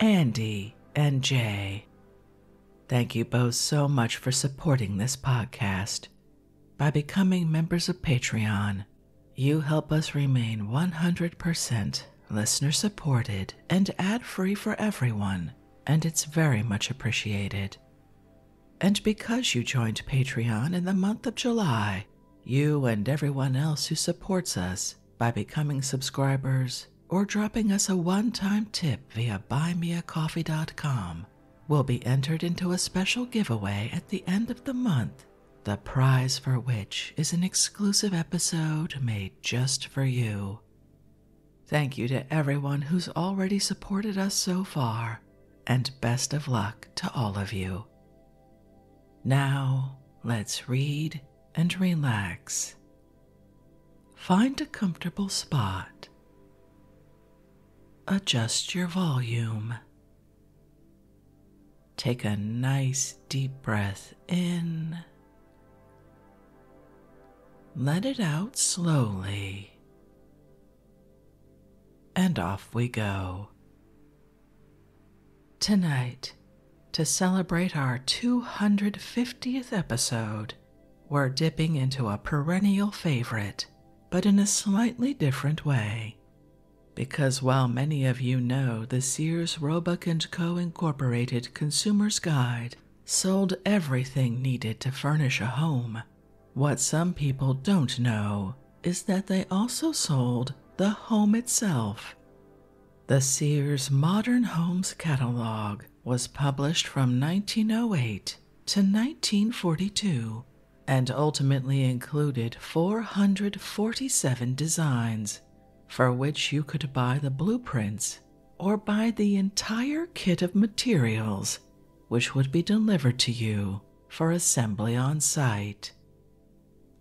Andy, and Jay. Thank you both so much for supporting this podcast. By becoming members of Patreon, you help us remain 100% listener supported and ad free for everyone, and it's very much appreciated. And because you joined Patreon in the month of July, you and everyone else who supports us by becoming subscribers or dropping us a one-time tip via buymeacoffee.com will be entered into a special giveaway at the end of the month, the prize for which is an exclusive episode made just for you. Thank you to everyone who's already supported us so far, and best of luck to all of you. Now, let's read and relax. Find a comfortable spot. Adjust your volume. Take a nice deep breath in. Let it out slowly. And off we go. Tonight, to celebrate our 250th episode, we're dipping into a perennial favorite, but in a slightly different way. Because while many of you know the Sears Roebuck & Co. Incorporated Consumer's Guide sold everything needed to furnish a home, what some people don't know is that they also sold the home itself. The Sears Modern Homes Catalog was published from 1908 to 1942 and ultimately included 447 designs, for which you could buy the blueprints or buy the entire kit of materials, which would be delivered to you for assembly on site.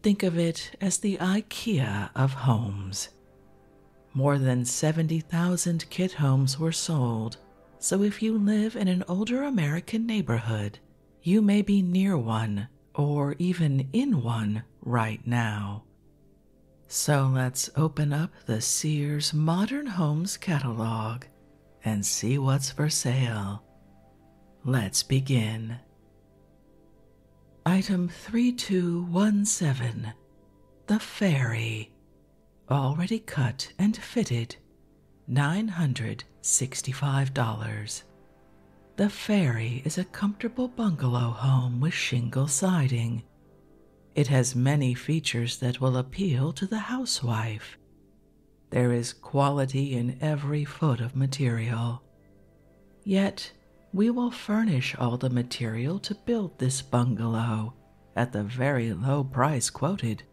Think of it as the IKEA of homes. More than 70,000 kit homes were sold, so if you live in an older American neighborhood, you may be near one or even in one right now. So let's open up the Sears Modern Homes catalog and see what's for sale. Let's begin. Item 3217 The Fairy, already cut and fitted, $965. The Fairy is a comfortable bungalow home with shingle siding. It has many features that will appeal to the housewife. There is quality in every foot of material. Yet, we will furnish all the material to build this bungalow at the very low price quoted.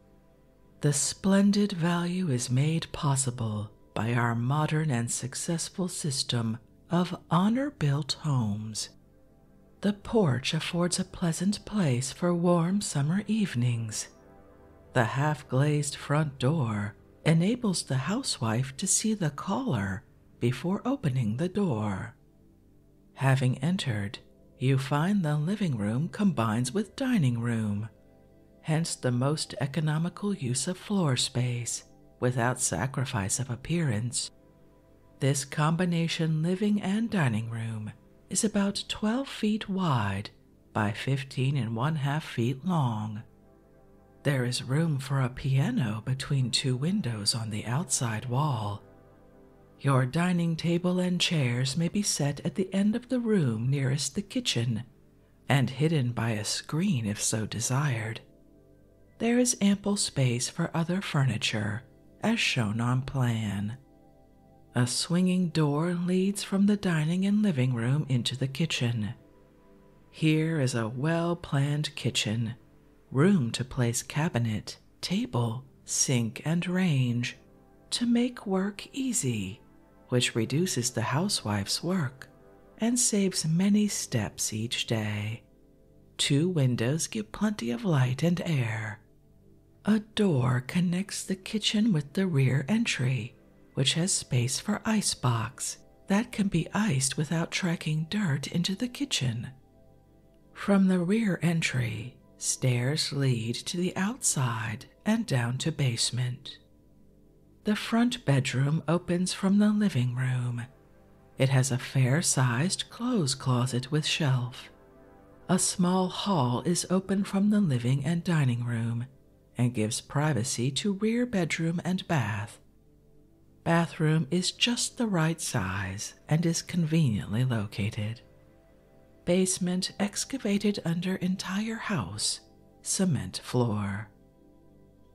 The splendid value is made possible by our modern and successful system of honor built homes. The porch affords a pleasant place for warm summer evenings. The half glazed front door enables the housewife to see the caller before opening the door. Having entered, you find the living room combines with dining room, hence the most economical use of floor space without sacrifice of appearance. This combination living and dining room is about 12 feet wide by 15 and one half feet long there is room for a piano between two windows on the outside wall. Your dining table and chairs may be set at the end of the room nearest the kitchen and hidden by a screen if so desired. There is ample space for other furniture, as shown on plan. A swinging door leads from the dining and living room into the kitchen, here is a well planned kitchen, room to place cabinet, table, sink, and range to make work easy, which reduces the housewife's work and saves many steps each day. Two windows give plenty of light and air. A door connects the kitchen with the rear entry which has space for ice box that can be iced without tracking dirt into the kitchen. From the rear entry, stairs lead to the outside and down to basement. The front bedroom opens from the living room. It has a fair sized clothes closet with shelf. A small hall is open from the living and dining room and gives privacy to rear bedroom and bath. Bathroom is just the right size and is conveniently located. Basement excavated under entire house, cement floor.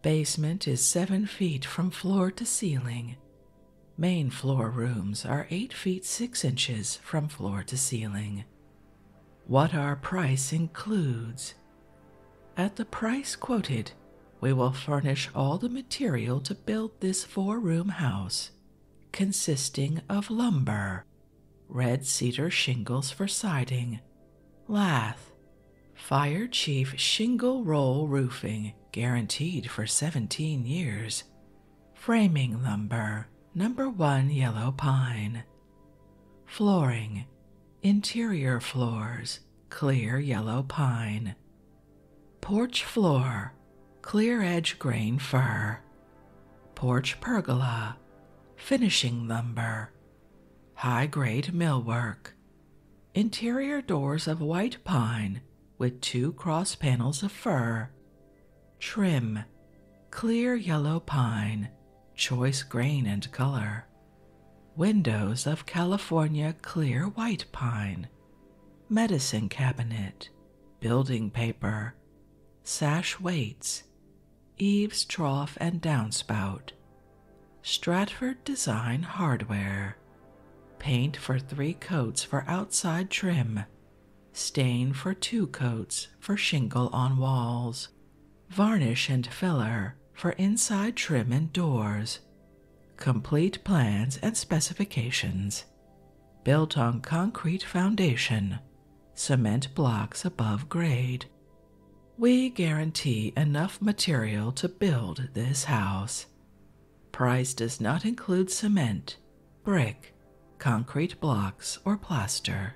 Basement is 7 feet from floor to ceiling. Main floor rooms are 8 feet 6 inches from floor to ceiling. What our price includes at the price quoted, we will furnish all the material to build this four room house, consisting of lumber, red cedar shingles for siding, lath, Fire Chief shingle roll roofing guaranteed for 17 years, framing lumber, number one yellow pine, Flooring, interior floors, clear yellow pine. Porch floor, clear edge grain fir. Porch pergola, finishing lumber. High grade millwork. Interior doors of white pine with two cross panels of fir. Trim, clear yellow pine, choice grain and color. Windows of California clear white pine, medicine cabinet, building paper, sash weights, eaves trough and downspout, Stratford design hardware, paint for three coats for outside trim, stain for two coats for shingle on walls, varnish and filler for inside trim and doors. Complete plans and specifications. Built on concrete foundation, cement blocks above grade. We guarantee enough material to build this house. Price does not include cement, brick, concrete blocks, or plaster.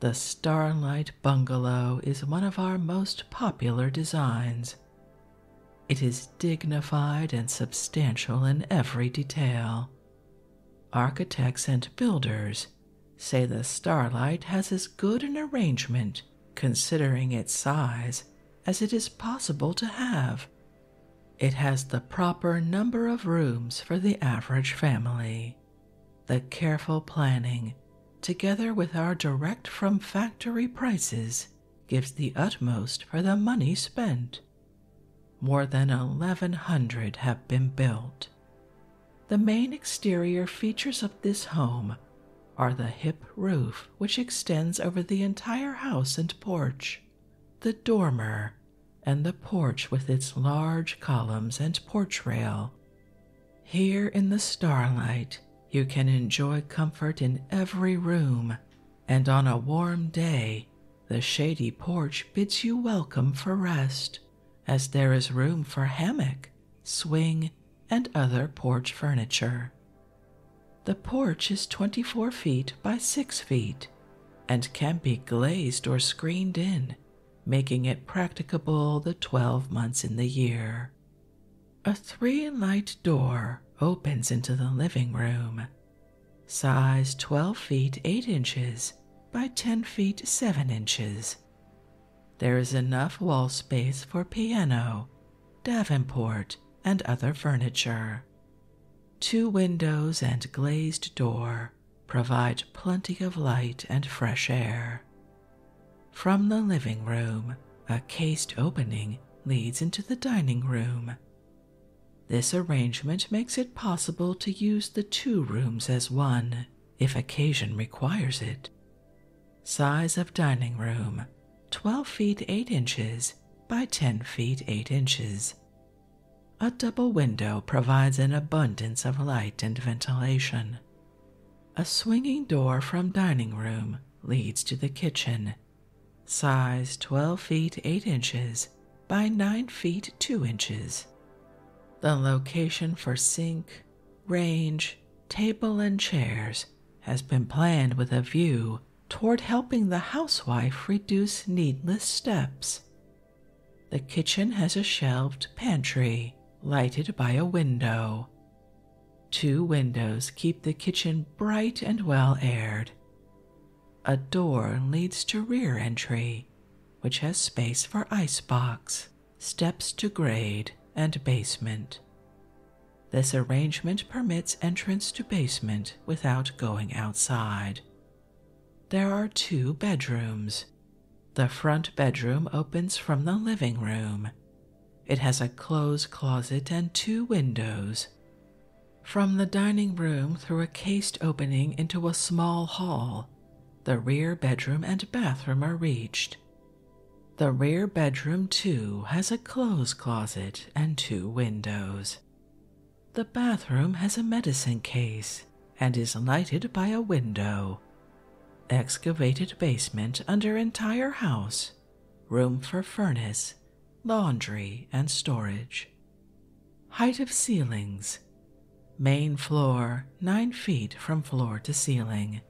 The Starlight Bungalow is one of our most popular designs. It is dignified and substantial in every detail. Architects and builders say the Starlight has as good an arrangement, considering its size, as it is possible to have. It has the proper number of rooms for the average family the careful planning, together with our direct from factory prices, gives the utmost for the money spent. More than 1,100 have been built. The main exterior features of this home are the hip roof, which extends over the entire house and porch, the dormer, and the porch with its large columns and porch rail here in the starlight, you can enjoy comfort in every room, and on a warm day, the shady porch bids you welcome for rest, as there is room for hammock, swing, and other porch furniture. The porch is 24 feet by 6 feet and can be glazed or screened in making it practicable the 12 months in the year. A three light door opens into the living room, size 12 feet 8 inches by 10 feet 7 inches. There is enough wall space for piano, davenport, and other furniture. Two windows and glazed door Provide plenty of light and fresh air. From the living room, a cased opening leads into the dining room. This arrangement makes it possible to use the two rooms as one if occasion requires it. Size of dining room 12 feet 8 inches by 10 feet 8 inches double window provides an abundance of light and ventilation. A swinging door from dining room leads to the kitchen, size 12 feet 8 inches by 9 feet 2 inches. The location for sink, range, table, and chairs has been planned with a view toward helping the housewife reduce needless steps the kitchen has a shelved pantry lighted by a window. Two windows keep the kitchen bright and well aired. A door leads to rear entry, which has space for icebox, steps to grade, and basement. This arrangement permits entrance to basement without going outside. There are two bedrooms, the front bedroom opens from the living room. It has a clothes closet and two windows. From the dining room, through a cased opening into a small hall, the rear bedroom and bathroom are reached. The rear bedroom, too, has a clothes closet and two windows. The bathroom has a medicine case and is lighted by a window. Excavated basement under entire house, room for furnace, laundry, and storage. Height of ceilings. Main floor 9 feet from floor to ceiling.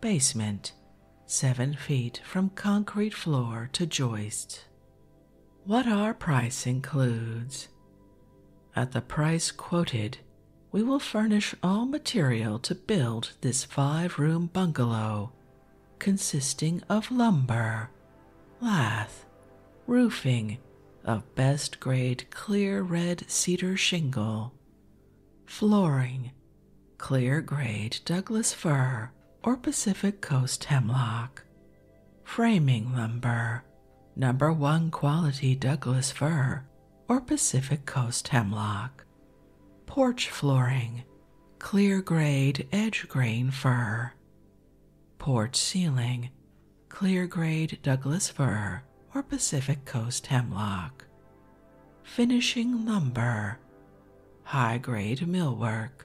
Basement 7 feet from concrete floor to joist. What our price includes. At the price quoted, we will furnish all material to build this five room bungalow, consisting of lumber, lath, roofing of best grade clear red cedar shingle, flooring, clear grade Douglas fir or Pacific Coast hemlock, framing lumber, Number one quality Douglas fir or Pacific Coast hemlock. Porch flooring, clear grade edge grain fir. Porch ceiling, clear grade Douglas fir or Pacific Coast hemlock. Finishing lumber, high grade millwork.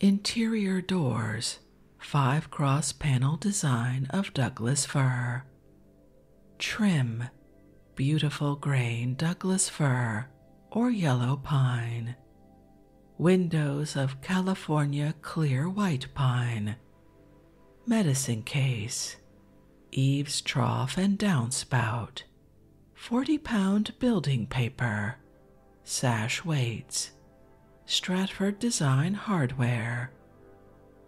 Interior doors, five cross panel design of Douglas fir. Trim, beautiful grain Douglas fir or yellow pine. Windows of California clear white pine. Medicine case, eaves trough and downspout, 40 pound building paper, sash weights, Stratford Design Hardware.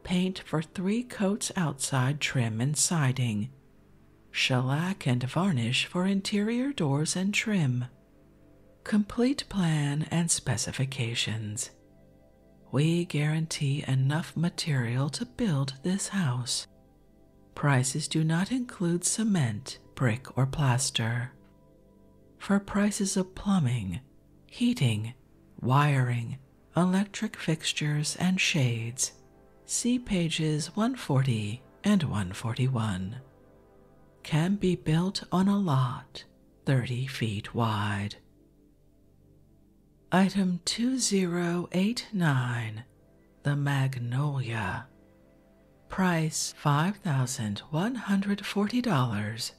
Paint for three coats outside trim and siding. Shellac and varnish for interior doors and trim. Complete plan and specifications. We guarantee enough material to build this house. Prices do not include cement, brick, or plaster. For prices of plumbing, heating, wiring, electric fixtures, and shades. See pages 140 and 141. Can be built on a lot 30 feet wide. Item 2089 The Magnolia. Price $5,140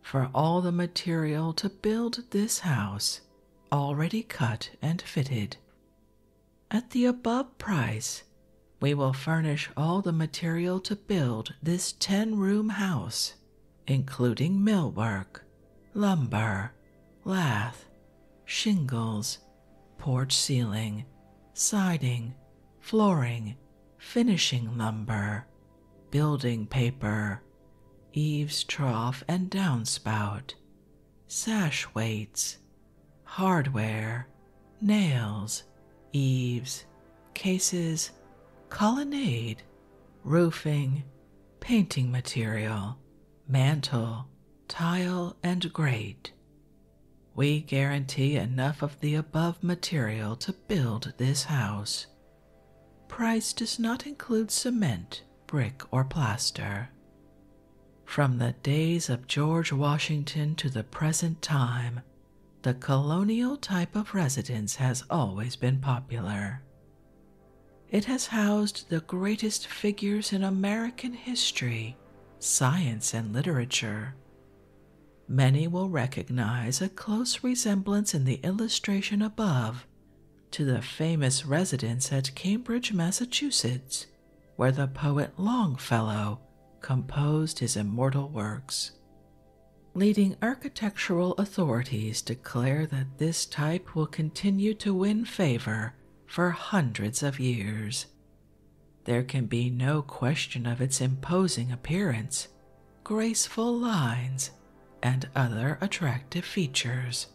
for all the material to build this house already cut and fitted. At the above price, we will furnish all the material to build this 10 room house, including millwork, lumber, lath, shingles, porch ceiling, siding, flooring, finishing lumber, building paper, eaves trough and downspout, sash weights, hardware, nails, eaves, cases, colonnade, roofing, painting material, mantle, tile, and grate. We guarantee enough of the above material to build this house Price does not include cement, brick, or plaster. From the days of George Washington to the present time, the colonial type of residence has always been popular. It has housed the greatest figures in American history, science, and literature, Many will recognize a close resemblance in the illustration above to the famous residence at Cambridge, Massachusetts, where the poet Longfellow composed his immortal works. Leading architectural authorities declare that this type will continue to win favor for hundreds of years. There can be no question of its imposing appearance graceful lines, and other attractive features.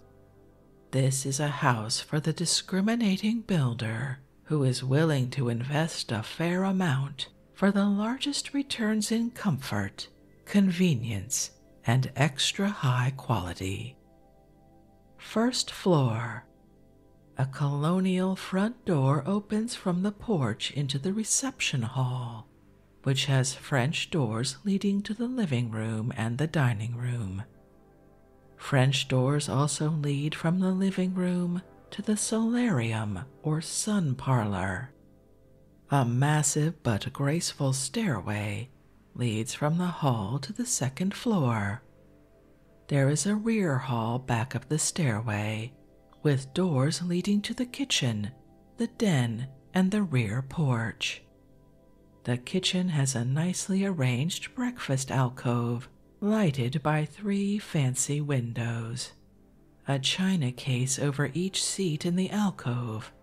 This is a house for the discriminating builder who is willing to invest a fair amount for the largest returns in comfort, convenience, and extra high quality. First floor. A colonial front door opens from the porch into the reception hall, which has French doors leading to the living room and the dining room. French doors also lead from the living room to the solarium or sun parlor. A massive but graceful stairway leads from the hall to the second floor. There is a rear hall back of the stairway with doors leading to the kitchen, the den, and the rear porch. The kitchen has a nicely arranged breakfast alcove lighted by three fancy windows, a china case over each seat in the alcove.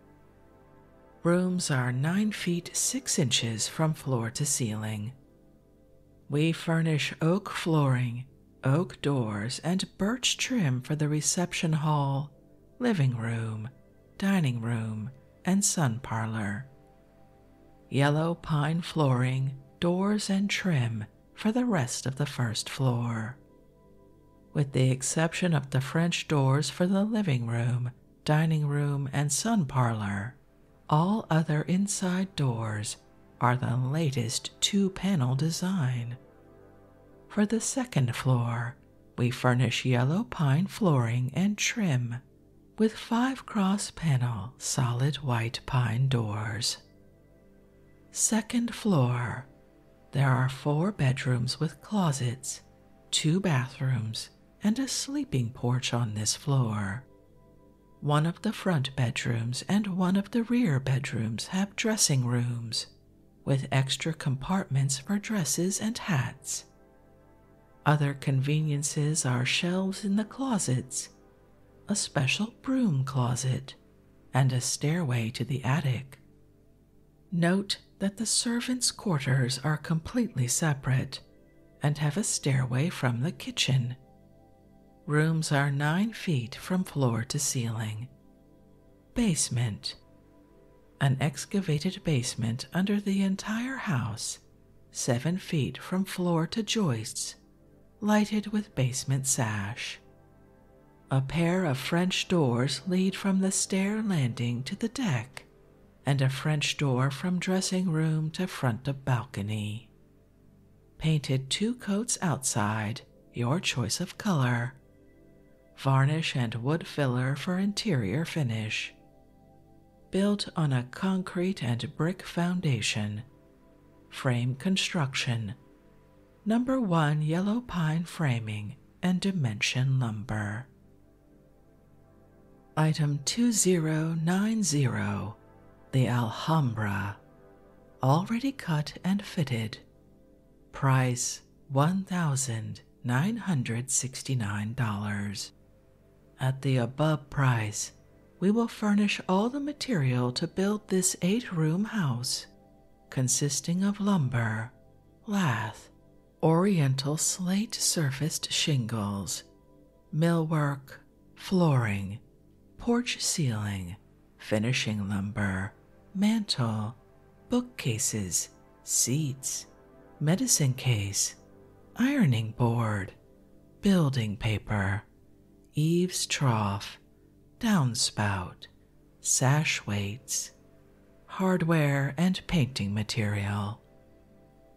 Rooms are 9 feet 6 inches from floor to ceiling. We furnish oak flooring oak doors, and birch trim for the reception hall, living room, dining room, and sun parlor. Yellow pine flooring, doors, and trim for the rest of the first floor. With the exception of the French doors for the living room, dining room, and sun parlor, all other inside doors are the latest two panel design. For the second floor, we furnish yellow pine flooring and trim with five cross panel solid white pine doors. Second floor, there are four bedrooms with closets, two bathrooms, and a sleeping porch on this floor. One of the front bedrooms and one of the rear bedrooms have dressing rooms with extra compartments for dresses and hats. Other conveniences are shelves in the closets, a special broom closet, and a stairway to the attic. Note that the servants' quarters are completely separate and have a stairway from the kitchen. Rooms are nine feet from floor to ceiling. Basement. An excavated basement under the entire house, seven feet from floor to joists, lighted with basement sash. A pair of French doors lead from the stair landing to the deck, and a French door from dressing room to front of balcony. Painted two coats outside, your choice of color. Varnish and wood filler for interior finish. Built on a concrete and brick foundation. Frame construction. Number one yellow pine framing and dimension lumber. Item 2090 The Alhambra. Already cut and fitted. Price $1,969. At the above price, we will furnish all the material to build this eight room house, consisting of lumber, lath, oriental slate surfaced shingles, millwork, flooring, porch ceiling, finishing lumber, mantel, bookcases, seats, medicine case, ironing board, building paper, eaves trough, downspout, sash weights, hardware, and painting material.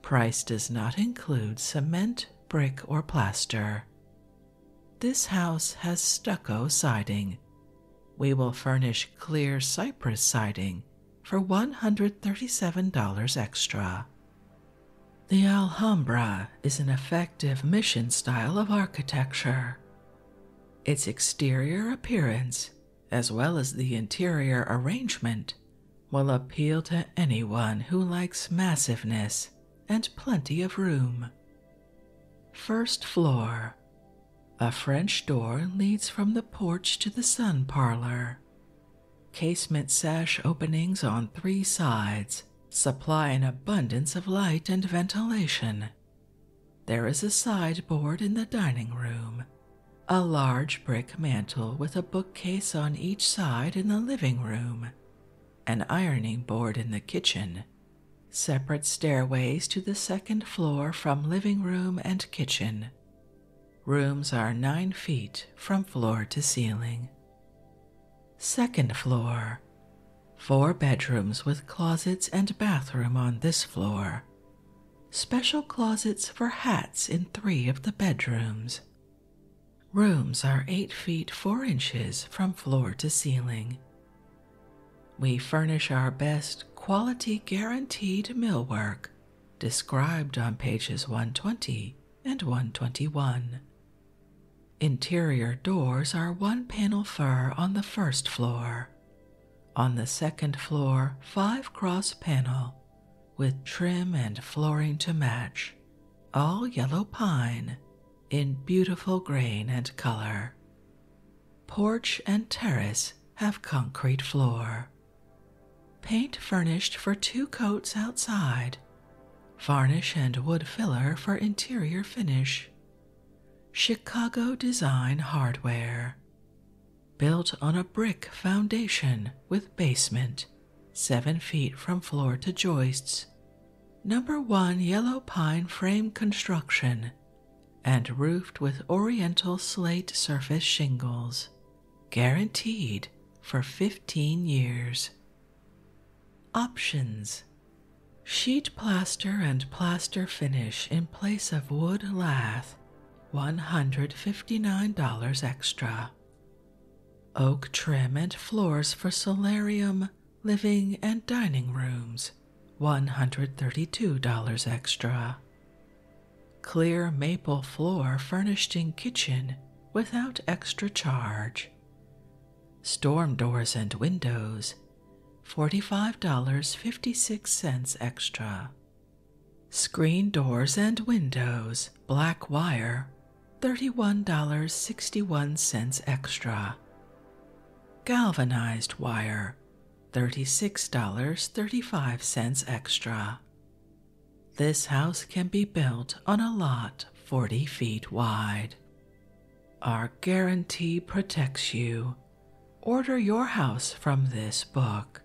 Price does not include cement, brick, or plaster. This house has stucco siding. We will furnish clear cypress siding for $137 extra. The Alhambra is an effective mission style of architecture. Its exterior appearance, as well as the interior arrangement, will appeal to anyone who likes massiveness and plenty of room. First floor. A French door leads from the porch to the sun parlor. Casement sash openings on three sides supply an abundance of light and ventilation. There is a sideboard in the dining room, a large brick mantel with a bookcase on each side in the living room, an ironing board in the kitchen, Separate stairways to the second floor from living room and kitchen. Rooms are 9 feet from floor to ceiling. Second floor. Four bedrooms with closets and bathroom on this floor. Special closets for hats in three of the bedrooms. Rooms are 8 feet 4 inches from floor to ceiling. We furnish our best quality guaranteed millwork described on pages 120 and 121. Interior doors are one panel fir on the first floor. On the second floor, five cross panel with trim and flooring to match, all yellow pine in beautiful grain and color. Porch and terrace have concrete floor. Paint furnished for two coats outside. Varnish and wood filler for interior finish. Chicago design hardware. Built on a brick foundation with basement, 7 feet from floor to joists, Number one yellow pine frame construction and roofed with oriental slate surface shingles, guaranteed for 15 years. Options Sheet plaster and plaster finish in place of wood lath, $159 extra. Oak trim and floors for solarium, living and dining rooms $132 extra. Clear maple floor furnished in kitchen without extra charge. Storm doors and windows $45.56 extra. Screen doors and windows, black wire, $31.61 extra. Galvanized wire, $36.35 extra. This house can be built on a lot 40 feet wide. Our guarantee protects you. Order your house from this book.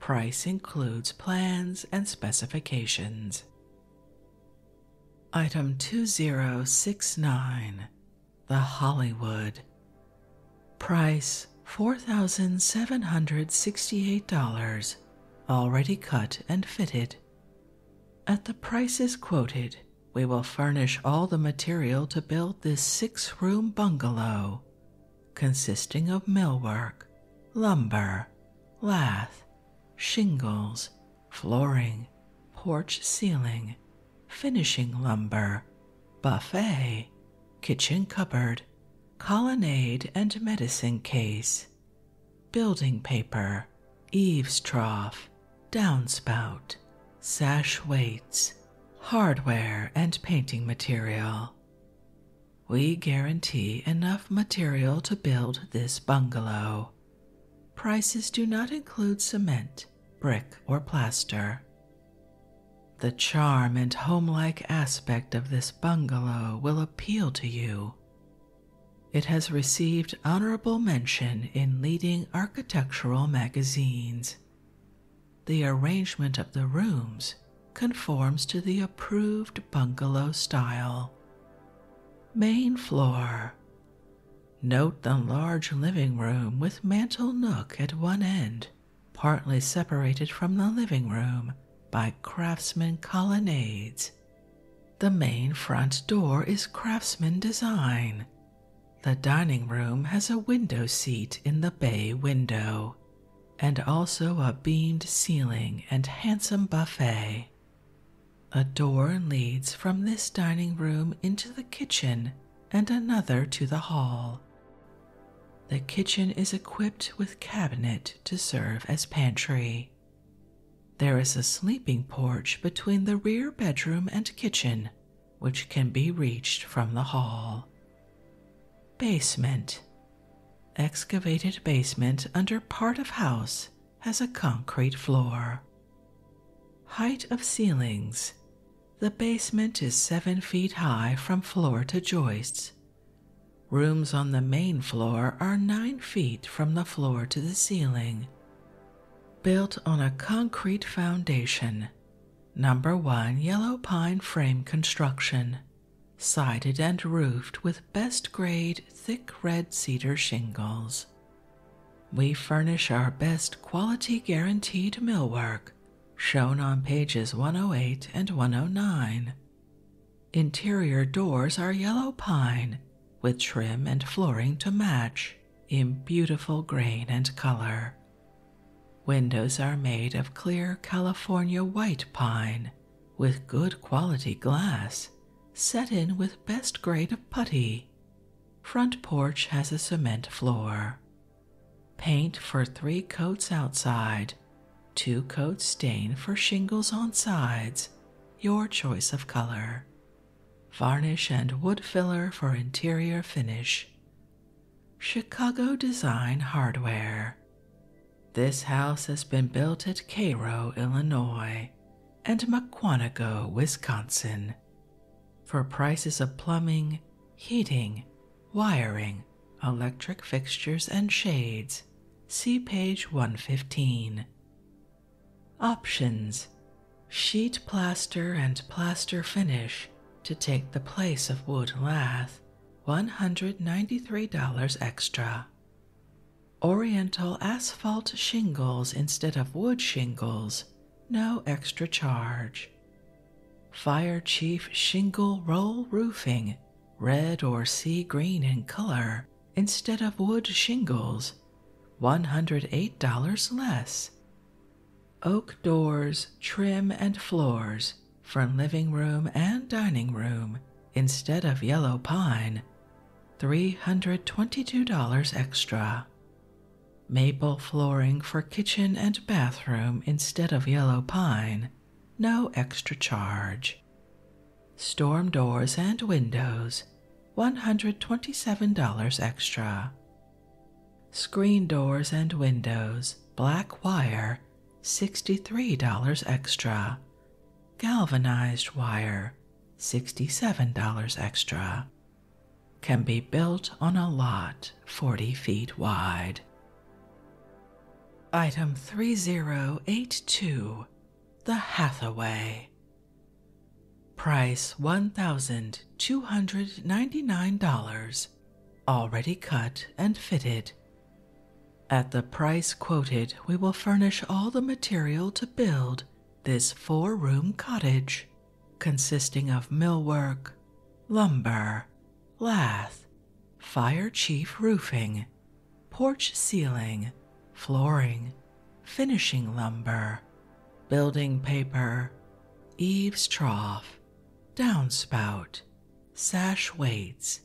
Price includes plans and specifications. Item 2069 The Hollywood. Price $4,768, already cut and fitted. At the prices quoted, we will furnish all the material to build this six room bungalow, consisting of millwork, lumber, lath, shingles, flooring, porch ceiling, finishing lumber, buffet, kitchen cupboard, colonnade and medicine case, building paper, eaves trough, downspout, sash weights, hardware, and painting material. We guarantee enough material to build this bungalow. Prices do not include cement, brick, or plaster. The charm and homelike aspect of this bungalow will appeal to you. It has received honorable mention in leading architectural magazines. The arrangement of the rooms conforms to the approved bungalow style. Main floor Note the large living room with mantel nook at one end, partly separated from the living room by craftsman colonnades. The main front door is craftsman design. The dining room has a window seat in the bay window, and also a beamed ceiling and handsome buffet. A door leads from this dining room into the kitchen and another to the hall. The kitchen is equipped with cabinet to serve as pantry. There is a sleeping porch between the rear bedroom and kitchen, which can be reached from the hall. Basement Excavated basement under part of house has a concrete floor. Height of ceilings The basement is seven feet high from floor to joists. Rooms on the main floor are nine feet from the floor to the ceiling. Built on a concrete foundation. Number one yellow pine frame construction, sided and roofed with best grade thick red cedar shingles. We furnish our best quality guaranteed millwork, shown on pages 108 and 109. Interior doors are yellow pine, with trim and flooring to match, in beautiful grain and color. Windows are made of clear California white pine, with good quality glass, set in with best grade of putty. Front porch has a cement floor. Paint for three coats outside, two coats stain for shingles on sides, your choice of color. Varnish and wood filler for interior finish. Chicago Design Hardware. This house has been built at Cairo, Illinois, and Muckwonago, Wisconsin, for prices of plumbing, heating, wiring, electric fixtures, and shades. See page 115. Options Sheet plaster and plaster finish to take the place of wood lath, $193 extra. Oriental asphalt shingles instead of wood shingles, no extra charge. Fire Chief Shingle Roll Roofing, red or sea green in color instead of wood shingles, $108 less. Oak doors, trim, and floors from living room and dining room instead of yellow pine $322 extra. Maple flooring for kitchen and bathroom instead of yellow pine, no extra charge. Storm doors and windows, $127 extra. Screen doors and windows, black wire, $63 extra. Galvanized wire, $67 extra, can be built on a lot 40 feet wide. Item 3082 The Hathaway. Price $1,299, already cut and fitted. At the price quoted, we will furnish all the material to build this four room cottage, consisting of millwork, lumber, lath, fire chief roofing, porch ceiling, flooring, finishing lumber, building paper, eaves trough, downspout, sash weights,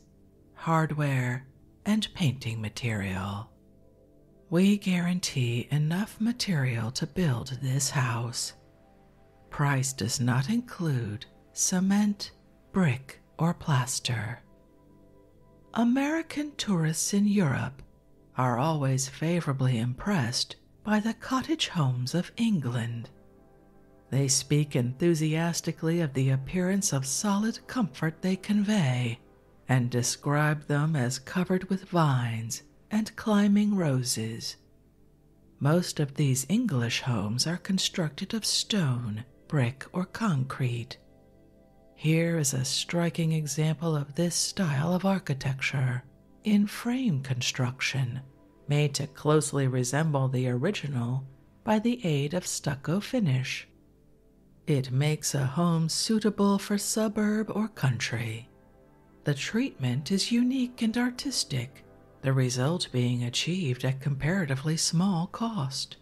hardware, and painting material we guarantee enough material to build this house. Price does not include cement, brick, or plaster. American tourists in Europe are always favorably impressed by the cottage homes of England. They speak enthusiastically of the appearance of solid comfort they convey and described them as covered with vines and climbing roses. Most of these English homes are constructed of stone, brick, or concrete. Here is a striking example of this style of architecture in frame construction, made to closely resemble the original by the aid of stucco finish it makes a home suitable for suburb or country. The treatment is unique and artistic, the result being achieved at comparatively small cost.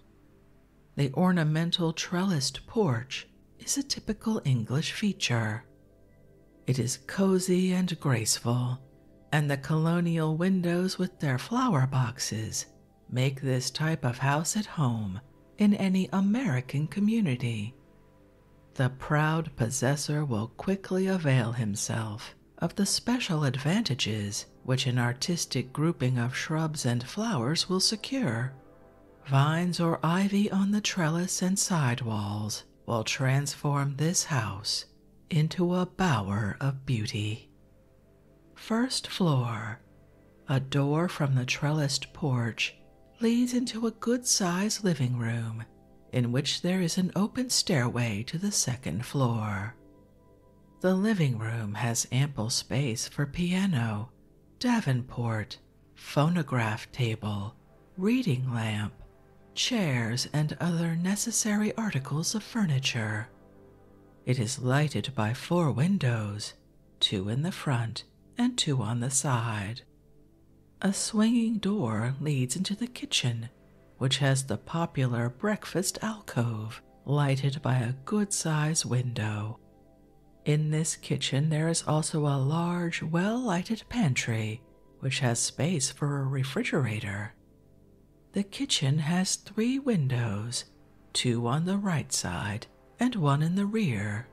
The ornamental trellised porch is a typical English feature. It is cozy and graceful, and the colonial windows with their flower boxes make this type of house at home in any American community. The proud possessor will quickly avail himself of the special advantages which an artistic grouping of shrubs and flowers will secure. Vines or ivy on the trellis and side walls will transform this house into a bower of beauty. First floor a door from the trellised porch leads into a good sized living room in which there is an open stairway to the second floor. The living room has ample space for piano, Davenport, phonograph table, reading lamp, chairs, and other necessary articles of furniture. It is lighted by four windows, two in the front and two on the side. A swinging door leads into the kitchen, which has the popular breakfast alcove lighted by a good sized window. In this kitchen, there is also a large, well lighted pantry, which has space for a refrigerator. The kitchen has three windows, two on the right side and one in the rear.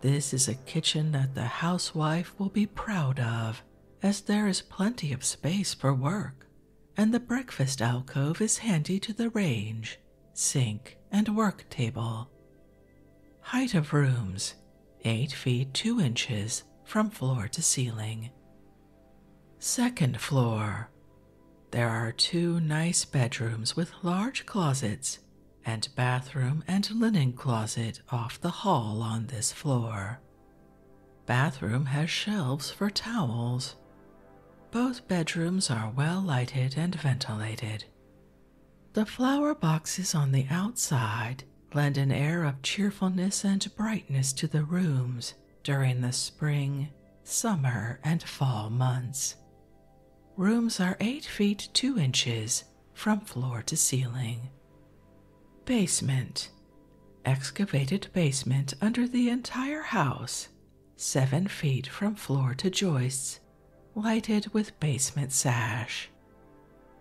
This is a kitchen that the housewife will be proud of, as there is plenty of space for work, and the breakfast alcove is handy to the range, sink, and work table. Height of rooms 8 feet 2 inches from floor to ceiling. Second floor there are two nice bedrooms with large closets and bathroom and linen closet off the hall on this floor. Bathroom has shelves for towels. Both bedrooms are well lighted and ventilated. The flower boxes on the outside lend an air of cheerfulness and brightness to the rooms during the spring, summer, and fall months. Rooms are 8 feet 2 inches from floor to ceiling. Basement Excavated basement under the entire house, 7 feet from floor to joists, lighted with basement sash.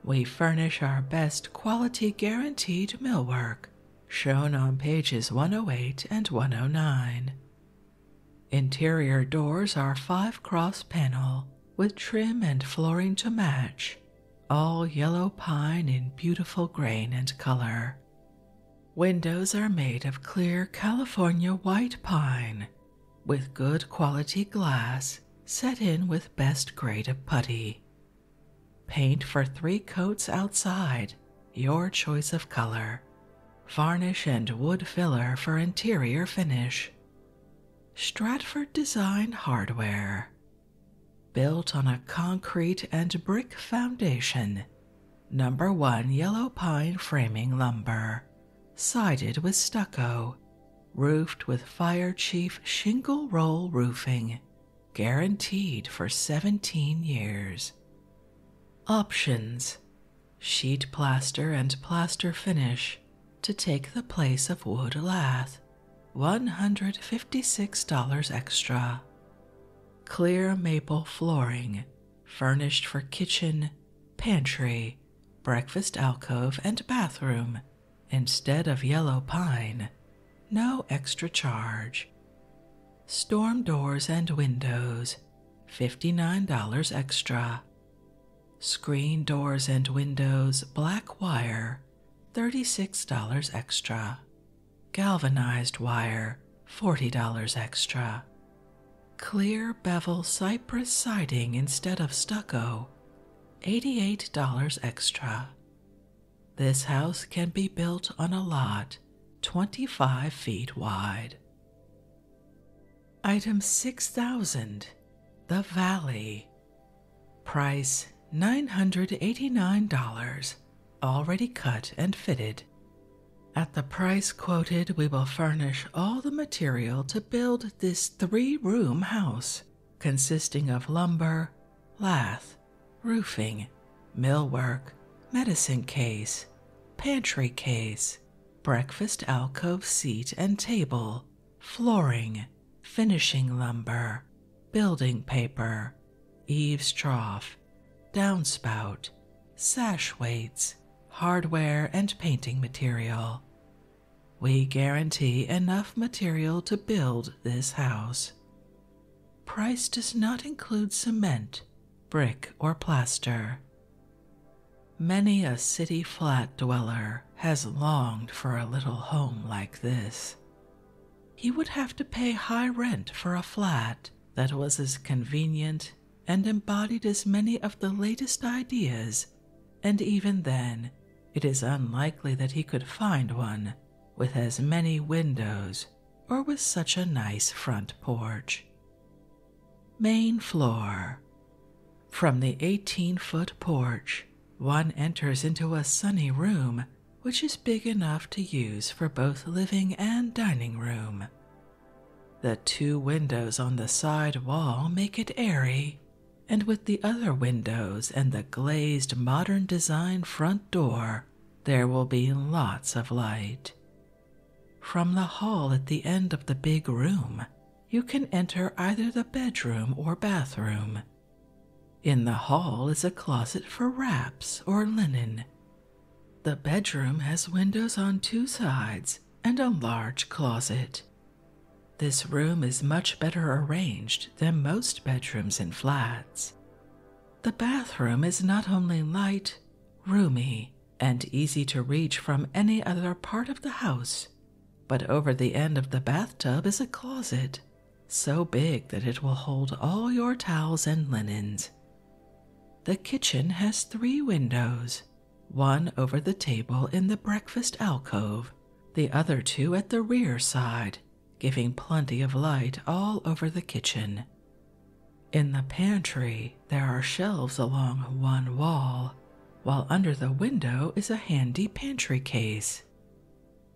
We furnish our best quality guaranteed millwork, shown on pages 108 and 109. Interior doors are five cross panel with trim and flooring to match, all yellow pine in beautiful grain and color. Windows are made of clear California white pine with good quality glass set in with best grade of putty. Paint for three coats outside, your choice of color, Varnish and wood filler for interior finish. Stratford Design Hardware. Built on a concrete and brick foundation. Number 1 yellow pine framing lumber. Sided with stucco. Roofed with Fire Chief Shingle Roll Roofing. Guaranteed for 17 years. Options sheet plaster, and plaster finish to take the place of wood lath, $156 extra. Clear maple flooring, furnished for kitchen, pantry, breakfast alcove, and bathroom instead of yellow pine, no extra charge. Storm doors and windows, $59 extra. Screen doors and windows, black wire, $36 extra. Galvanized wire, $40 extra. Clear bevel cypress siding instead of stucco, $88 extra. This house can be built on a lot 25 feet wide. Item 6000 The Valley. Price $989, already cut and fitted. At the price quoted, we will furnish all the material to build this three room house, consisting of lumber, lath, roofing, millwork, medicine case, pantry case, breakfast alcove seat and table, flooring, finishing lumber, building paper, eaves trough, downspout, sash weights, hardware, and painting material. We guarantee enough material to build this house. Price does not include cement, brick, or plaster, Many a city flat dweller has longed for a little home like this. He would have to pay high rent for a flat that was as convenient and embodied as many of the latest ideas, and even then, it is unlikely that he could find one with as many windows or with such a nice front porch. Main floor. From the 18 foot porch, one enters into a sunny room which is big enough to use for both living and dining room. The two windows on the side wall make it airy, and with the other windows and the glazed modern design front door, there will be lots of light. From the hall at the end of the big room, you can enter either the bedroom or bathroom. In the hall is a closet for wraps or linen. The bedroom has windows on two sides and a large closet. This room is much better arranged than most bedrooms in flats. The bathroom is not only light, roomy, and easy to reach from any other part of the house. But over the end of the bathtub is a closet, so big that it will hold all your towels and linens. The kitchen has three windows one over the table in the breakfast alcove, the other two at the rear side, giving plenty of light all over the kitchen. In the pantry, there are shelves along one wall, while under the window is a handy pantry case.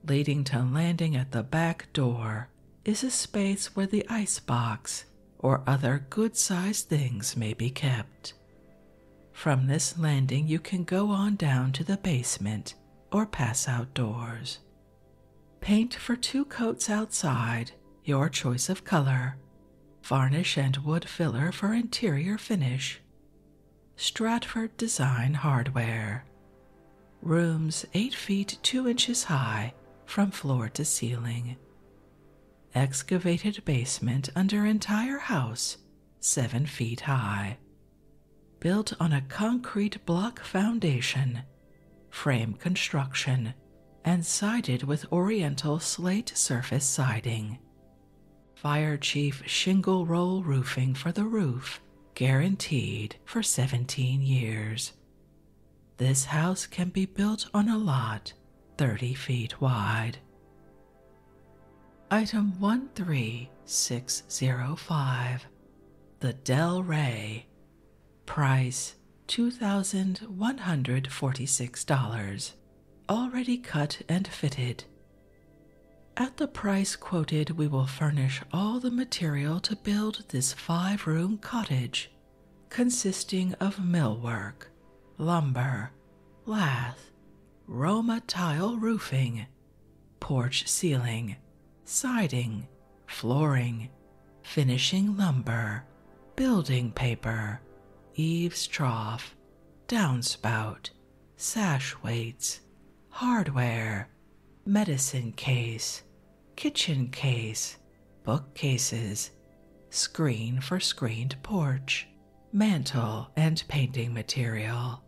Leading to landing at the back door is a space where the icebox or other good sized things may be kept. From this landing, you can go on down to the basement or pass outdoors. Paint for two coats outside, your choice of color, Varnish and wood filler for interior finish. Stratford Design Hardware. Rooms 8 feet 2 inches high from floor to ceiling. Excavated basement under entire house 7 feet high. Built on a concrete block foundation. Frame construction and sided with oriental slate surface siding. Fire Chief shingle roll roofing for the roof, guaranteed for 17 years. This house can be built on a lot 30 feet wide. Item 13605 The Del Rey Price $2,146. Already cut and fitted. At the price quoted, we will furnish all the material to build this five room cottage, consisting of millwork, lumber, lath, Roma tile roofing, porch ceiling, siding, flooring, finishing lumber, building paper, eaves trough, downspout, sash weights, hardware, medicine case, kitchen case, bookcases, screen for screened porch, mantle, and painting material.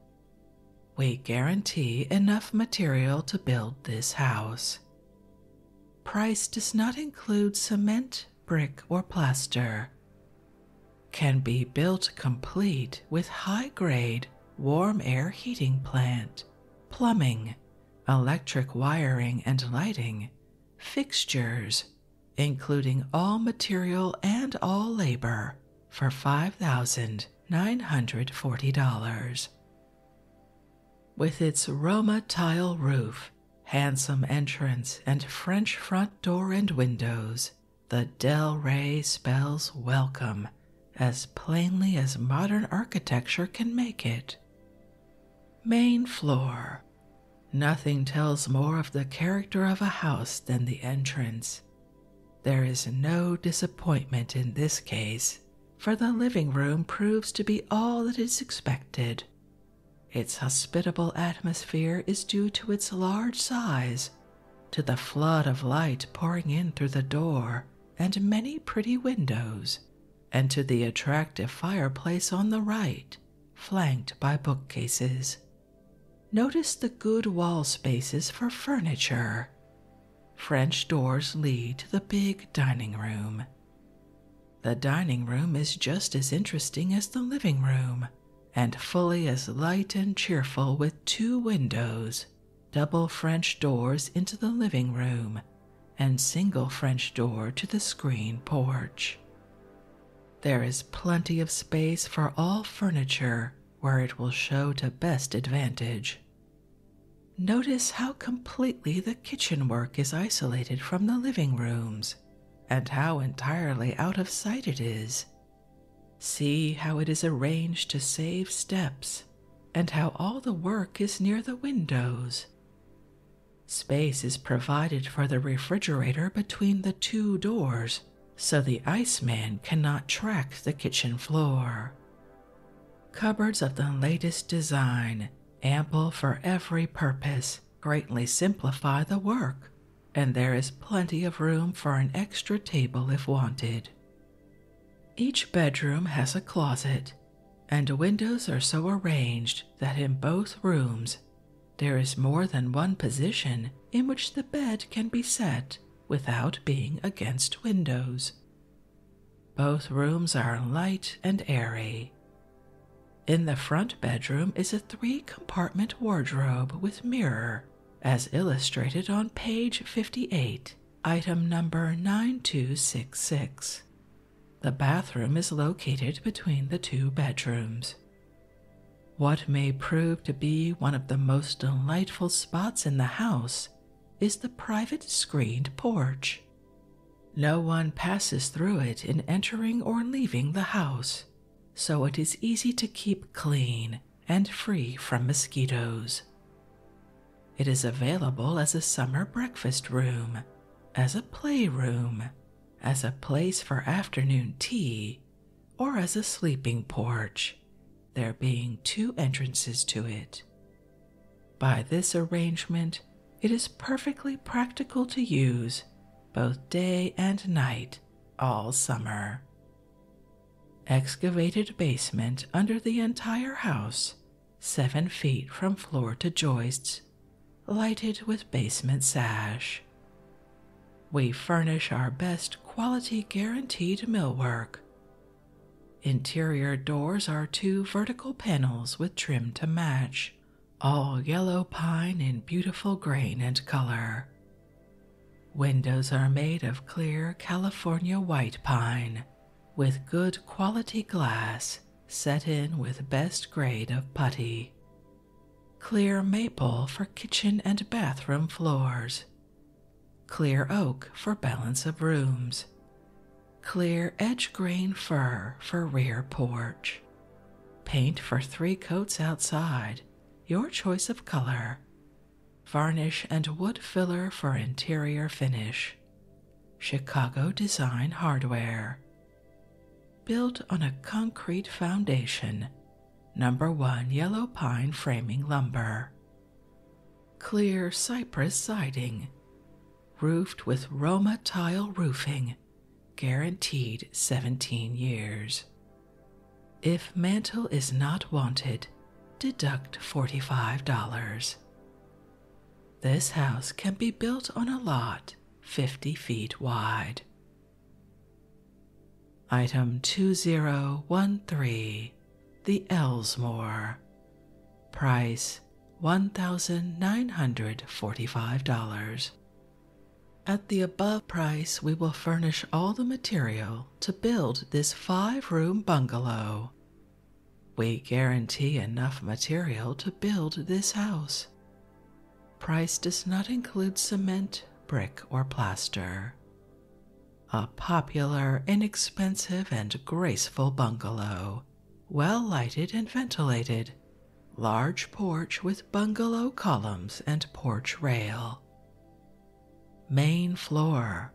We guarantee enough material to build this house. Price does not include cement, brick, or plaster. Can be built complete with high grade warm air heating plant, plumbing, electric wiring and lighting, fixtures, including all material and all labor, for $5,940. With its Roma tile roof handsome entrance, and French front door and windows, the Del Rey spells welcome as plainly as modern architecture can make it. Main floor. Nothing tells more of the character of a house than the entrance. There is no disappointment in this case, for the living room proves to be all that is expected its hospitable atmosphere is due to its large size, to the flood of light pouring in through the door and many pretty windows, and to the attractive fireplace on the right, flanked by bookcases. Notice the good wall spaces for furniture. French doors lead to the big dining room, the dining room is just as interesting as the living room and fully as light and cheerful with two windows, double French doors into the living room, and single French door to the screen porch. There is plenty of space for all furniture where it will show to best advantage. Notice how completely the kitchen work is isolated from the living rooms and how entirely out of sight it is. See how it is arranged to save steps and how all the work is near the windows. Space is provided for the refrigerator between the two doors so the ice man cannot track the kitchen floor. Cupboards of the latest design ample for every purpose, greatly simplify the work, and there is plenty of room for an extra table if wanted. Each bedroom has a closet, and windows are so arranged that in both rooms there is more than one position in which the bed can be set without being against windows. Both rooms are light and airy. In the front bedroom is a three compartment wardrobe with mirror, as illustrated on page 58, item number 9266. The bathroom is located between the two bedrooms. What may prove to be one of the most delightful spots in the house is the private screened porch, no one passes through it in entering or leaving the house, so it is easy to keep clean and free from mosquitoes. It is available as a summer breakfast room, as a playroom, as a place for afternoon tea, or as a sleeping porch, there being two entrances to it by this arrangement, it is perfectly practical to use both day and night all summer. Excavated basement under the entire house, seven feet from floor to joists, lighted with basement sash. We furnish our best quality guaranteed millwork. Interior doors are two vertical panels with trim to match all yellow pine in beautiful grain and color. Windows are made of clear California white pine with good quality glass set in with best grade of putty. Clear maple for kitchen and bathroom floors. Clear oak for balance of rooms. Clear edge green fur for rear porch. Paint for three coats outside, your choice of color. Varnish and wood filler for interior finish. Chicago Design Hardware. Built on a concrete foundation. Number 1 Yellow Pine Framing Lumber. Clear Cypress Siding roofed with Roma tile roofing, guaranteed 17 years. If mantle is not wanted, deduct $45. This house can be built on a lot 50 feet wide. Item 2013 The Elsmore. Price $1,945. At the above price, we will furnish all the material to build this five room bungalow. We guarantee enough material to build this house. Price does not include cement, brick, or plaster. A popular, inexpensive, and graceful bungalow well lighted and ventilated, large porch with bungalow columns and porch rail. Main floor.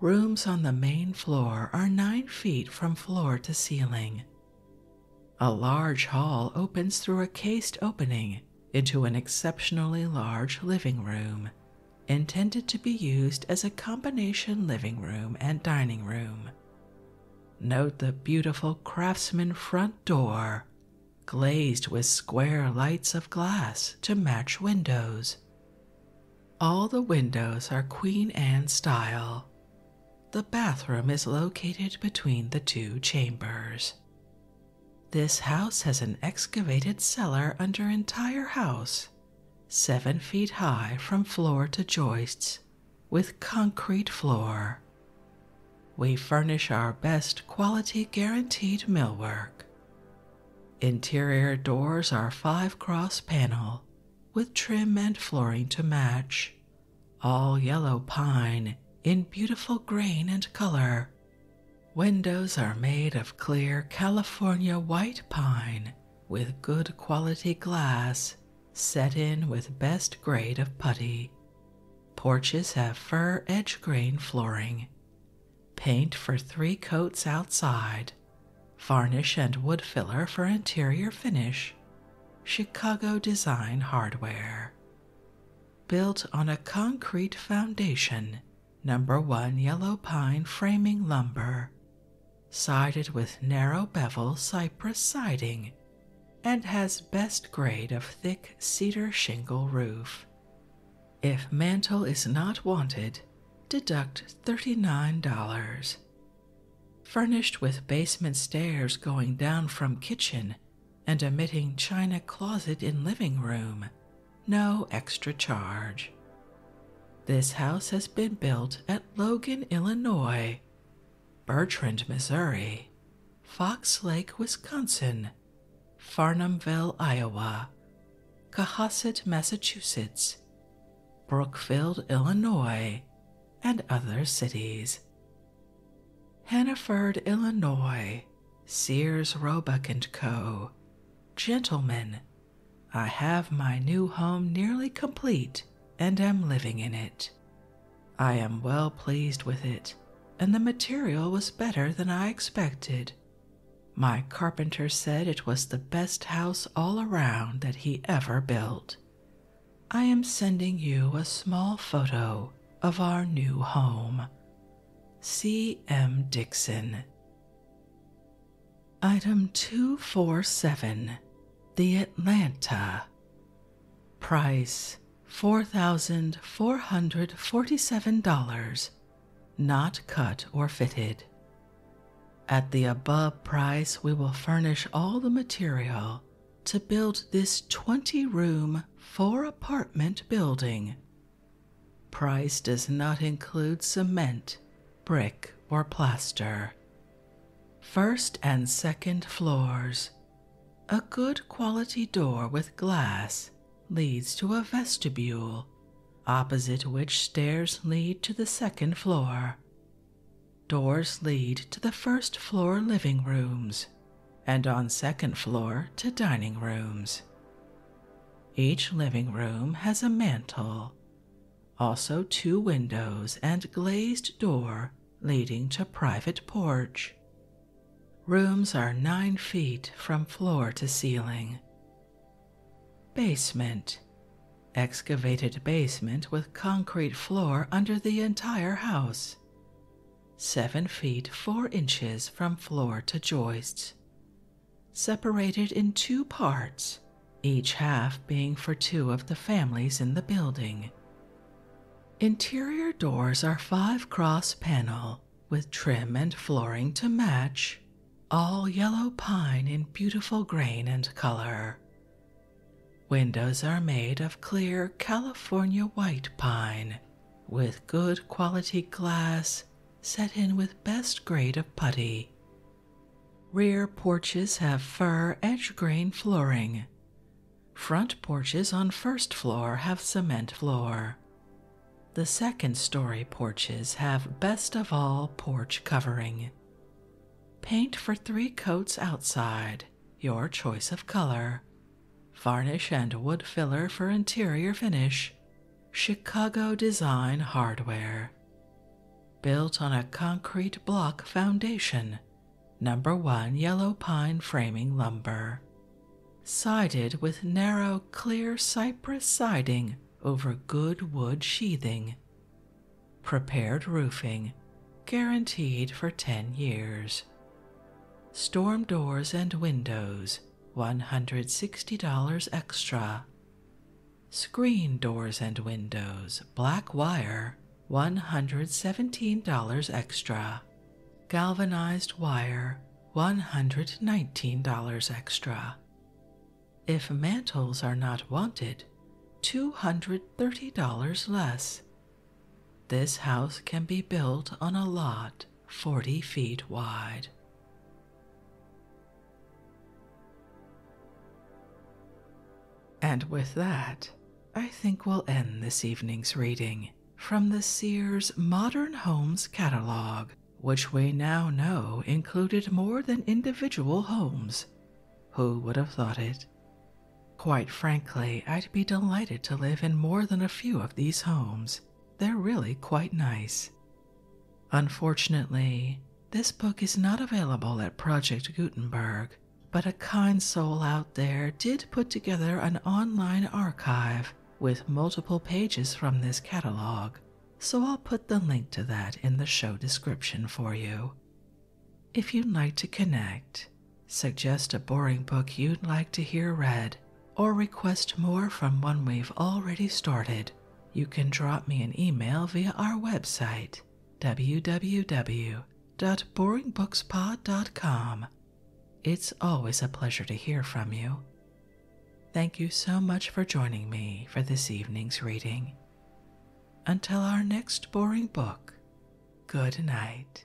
Rooms on the main floor are nine feet from floor to ceiling. A large hall opens through a cased opening into an exceptionally large living room, intended to be used as a combination living room and dining room, Note the beautiful craftsman front door, glazed with square lights of glass to match windows. All the windows are Queen Anne style. The bathroom is located between the two chambers. This house has an excavated cellar under entire house, seven feet high from floor to joists with concrete floor. We furnish our best quality guaranteed millwork. Interior doors are five cross panel with trim and flooring to match, all yellow pine in beautiful grain and color. Windows are made of clear California white pine with good quality glass set in with best grade of putty. Porches have fir edge grain flooring. Paint for three coats outside. Varnish and wood filler for interior finish. Chicago design hardware. Built on a concrete foundation, number one yellow pine framing lumber, sided with narrow bevel cypress siding, and has best grade of thick cedar shingle roof. If mantle is not wanted, deduct $39. Furnished with basement stairs going down from kitchen and emitting china closet in living room, no extra charge. This house has been built at Logan, Illinois, Bertrand, Missouri, Fox Lake, Wisconsin, Farnumville, Iowa, Cohasset, Massachusetts, Brookfield, Illinois, and other cities. Hannaford, Illinois, Sears Roebuck and Co., Gentlemen. I have my new home nearly complete and am living in it. I am well pleased with it, and the material was better than I expected. My carpenter said it was the best house all around that he ever built. I am sending you a small photo of our new home. C. M. Dixon. Item 247 The Atlanta. Price $4,447, not cut or fitted. At the above price, we will furnish all the material to build this 20 room, 4 apartment building. Price does not include cement, brick, or plaster, First and second floors. A good quality door with glass leads to a vestibule, opposite which stairs lead to the second floor. Doors lead to the first floor living rooms, and on second floor to dining rooms. Each living room has a mantel also two windows and glazed door leading to private porch. Rooms are 9 feet from floor to ceiling. Basement Excavated basement with concrete floor under the entire house. 7 feet 4 inches from floor to joists. Separated in two parts each half being for two of the families in the building. Interior doors are five cross panel with trim and flooring to match, all yellow pine in beautiful grain and color. Windows are made of clear California white pine with good quality glass set in with best grade of putty Rear porches have fir edge grain flooring. Front porches on first floor have cement floor. The second story porches have best of all porch covering. Paint for three coats outside, your choice of color. Varnish and wood filler for interior finish. Chicago Design Hardware built on a concrete block foundation, number one yellow pine framing lumber, sided with narrow, clear cypress siding over good wood sheathing. Prepared roofing, guaranteed for 10 years. Storm doors and windows, $160 extra. Screen doors and windows, black wire, $117 extra. Galvanized wire, $119 extra. If mantles are not wanted, $230 less. This house can be built on a lot 40 feet wide. And with that, I think we'll end this evening's reading from the Sears Modern Homes catalog, which we now know included more than individual homes. Who would have thought it? Quite frankly, I'd be delighted to live in more than a few of these homes. They're really quite nice. Unfortunately, this book is not available at Project Gutenberg, but a kind soul out there did put together an online archive with multiple pages from this catalog, so I'll put the link to that in the show description for you. If you'd like to connect, suggest a boring book you'd like to hear read, or request more from one we've already started, you can drop me an email via our website www.boringbookspod.com. It's always a pleasure to hear from you. Thank you so much for joining me for this evening's reading. Until our next boring book, good night.